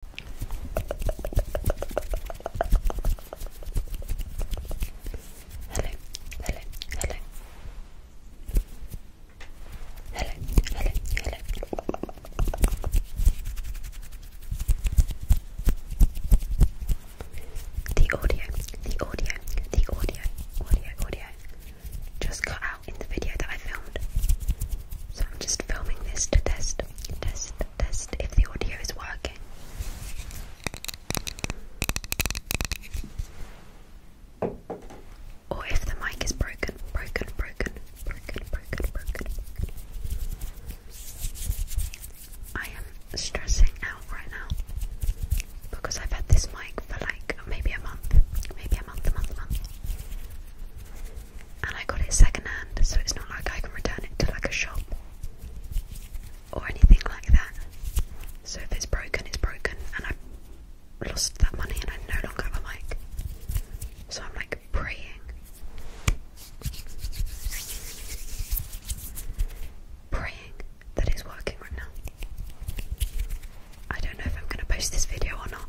Hello, hello, hello. Hello, hello, hello. The audio, the audio, the audio, audio, audio just got out in the video that I filmed. So I'm just filming this to test test, test if the audio is working. Or if the mic is broken, broken, broken, broken, broken, broken. I am stressing out right now because I've had this mic for like maybe a month, maybe a month, month, month and I got it second so it's not like I can return it to like a shop or anything like that. So if it's broken, it's broken, and I lost that money and I no longer have a mic. So I'm like praying. Praying that it's working right now. I don't know if I'm going to post this video or not.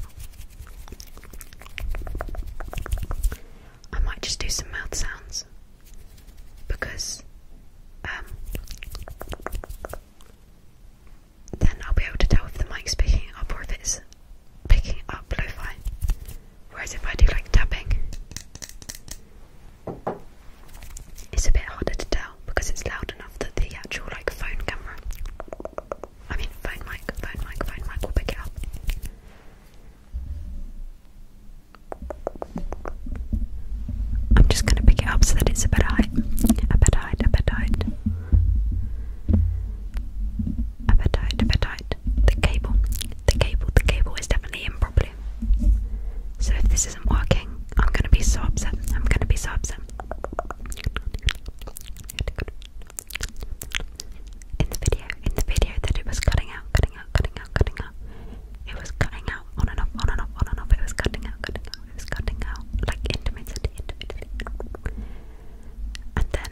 I might just do some mouth sounds because um, then I'll be able to tell if the mic's picking up or if it's picking up lo Whereas if I do like tapping, it's a bit harder to tell because it's loud enough that the actual like phone camera I mean, phone mic, phone mic, phone mic, we'll pick it up. I'm just going to pick it up so that it's a better height. Appetite, appetite. Appetite, appetite. The cable, the cable, the cable is definitely in properly. So if this isn't working, I'm going to be so upset. I'm going to be so upset. In the video, in the video that it was cutting out, cutting out, cutting out, cutting out. It was cutting out on and off, on and off, on and off. It was cutting out, cutting out, it was cutting out. Like intermittently, And then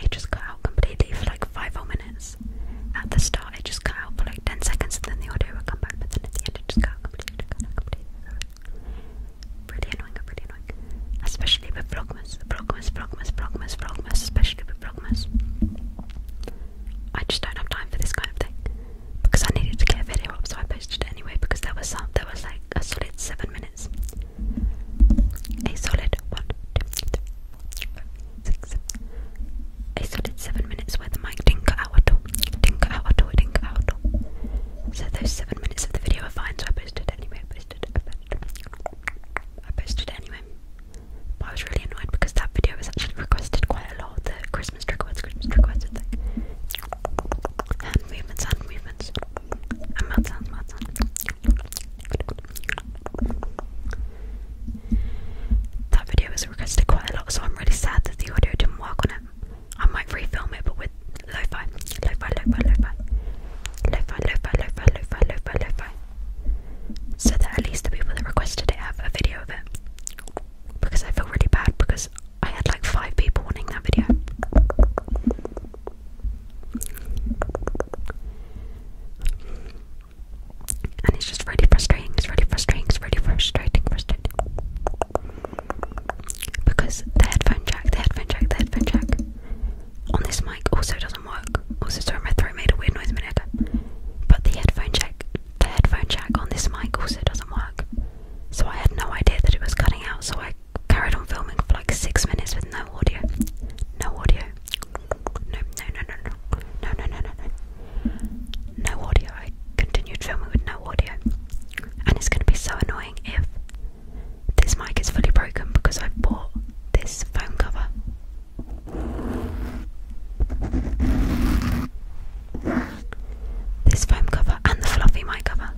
it just cut out completely for like five whole minutes. At the start, it just cut out for like 10 seconds and then the audio would come back, but then at the end, it just cut out completely. Cut completely. Pretty annoying, pretty annoying. Especially with Vlogmas, Vlogmas, Vlogmas, Vlogmas, Vlogmas, especially with Vlogmas. I just don't have time for this kind of thing. Because I needed to get a video up, so I posted it anyway because there was some there was like a solid seven minutes. A solid one, two, three, four, five, six, seven. A solid seven minutes where the mic didn't cut out at all out, didn't out at it So those seven minutes of the video are fine, so I posted anyway, I posted, I posted, anyway. But I was really annoyed because that video was actually requested quite a lot. The Christmas trick words, Christmas trick words, and like hand movements, hand movements, and mouth sounds, mouth sounds. That video was requested quite a lot, so I'm really sad that the audio work on it. I might refilm it, but with lo-fi, lo-fi, lo-fi, lo-fi, lo-fi, lo-fi, lo-fi, lo-fi, lo-fi, lo-fi, so that at least the people that requested it have a video of it. Because I feel really bad because I had like five people wanting that video. And it's just really frustrating, it's really frustrating, it's really frustrating, frustrating. Because the headphone jack, the headphone jack, the headphone jack on this mic also doesn't work. Also, sorry, my throat made a weird noise a minute ago. But the headphone jack, the headphone jack on this mic also doesn't work. So I had no idea that it was cutting out, so I carried on filming for like six minutes with no audio. No audio. No, no, no, no, no. No, no, no, no, no no audio. continued filming with no audio. And it's going to be so annoying if this mic is fully broken because I bought this phone cover. This foam cover and the fluffy mic cover,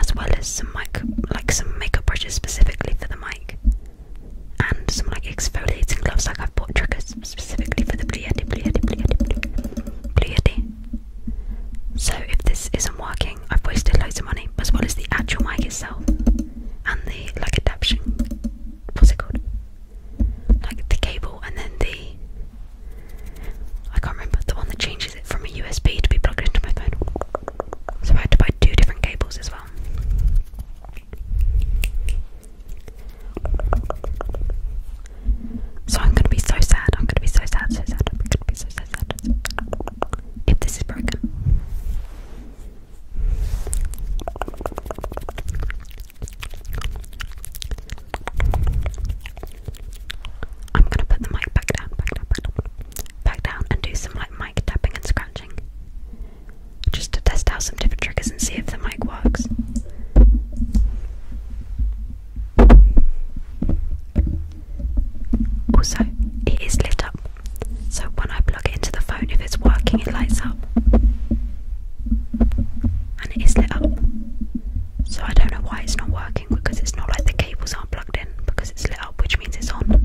as well as some mic, like some makeup brushes specifically for the mic and some like exfoliating gloves. Like I've bought triggers specifically for the Blue Yeti, Blue Yeti, Blue Yeti, Blue Yeti. So if this isn't working, I've wasted loads of money, as well as the actual mic itself and the like adaption. What's it called? Like the cable and then the I can't remember the one that changes it from a USB to be plugged into my phone. So I had to buy two different cables as well. So I'm gonna be so sad. I'm gonna be so sad, so sad. I'm gonna be so, so sad. If this is broken. I'm gonna put the mic back down, back down, back down, and do some like mic tapping and scratching just to test out some different triggers and see if the mic works. Also, it is lit up, so when I plug it into the phone, if it's working, it lights up. And it is lit up, so I don't know why it's not working because it's not like the cables aren't plugged in because it's lit which means it's on.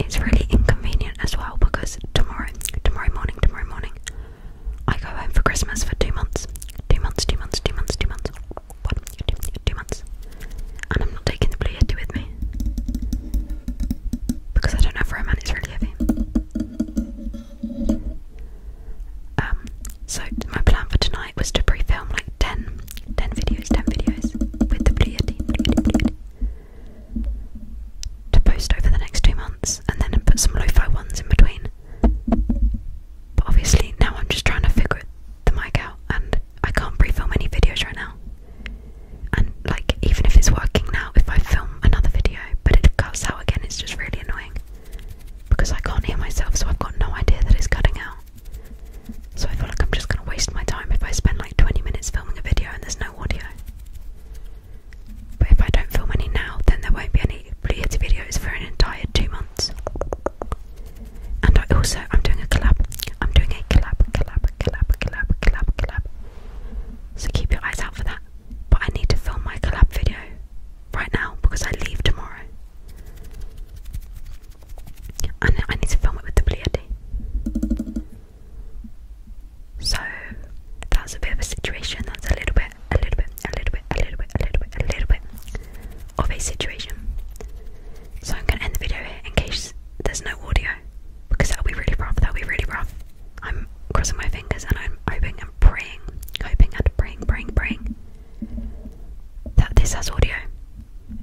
It's really inconvenient as well because tomorrow, tomorrow morning, tomorrow morning, I go home for Christmas for two months. Two months, two months, two months, two months. One, two, two months. And I'm not taking the blue yeti with me because I don't have room and it's really heavy. Um, so my plan for tonight was to pre-film like 10, videos, 10 videos with the Blue to post over the next two months and then put some lo-fi ones in between. But obviously now I'm just trying to figure the mic out and I can't pre-film any videos right now. And like even if it's working now, if I film another video but it cuts out again. It's just really annoying because I can't hear myself, so I've got no idea that it's cutting out. So I feel like I'm just going to waste my time if I spend like 20 minutes filming a video and there's no audio. But if I don't film any now, then there won't be any related videos for an entire two months. And I also, I'm doing a collab. I'm doing a collab, collab, collab, collab, collab, collab. So keep your eyes out for that. But I need to film my collab video right now because I leave tomorrow. And I need to film it with the Blue So that's a bit of a situation. That's a little bit, a little bit, a little bit, a little bit, a little bit, a little bit of a situation. So I'm gonna end the video here in case there's no audio because that'll be really rough. That'll be really rough. I'm crossing my fingers and I'm hoping and praying, hoping and praying, praying, praying that this has audio.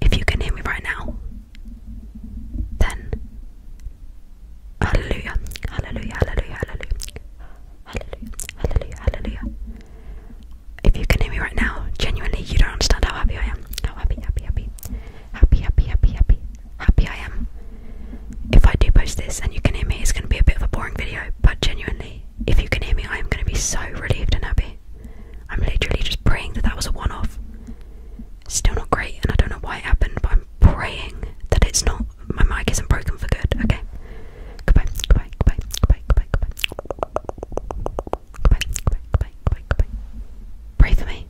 If you can hear me right now, then hallelujah, hallelujah, hallelujah, hallelujah, hallelujah, hallelujah, If you can hear me right now, genuinely, you don't understand how happy I am. How happy, happy, happy, happy, happy, happy, happy happy I am. If I do post this and you can hear me, it's going to be a bit of a boring video, but genuinely, if you can hear me, I am going to be so relieved and happy. I'm literally just praying that that was a one off. Still not great, and I don't know why it happened, but I'm praying that it's not, my mic isn't broken for good, okay? Goodbye, goodbye, goodbye, goodbye, goodbye, goodbye. Goodbye, goodbye, goodbye, goodbye. Pray for me.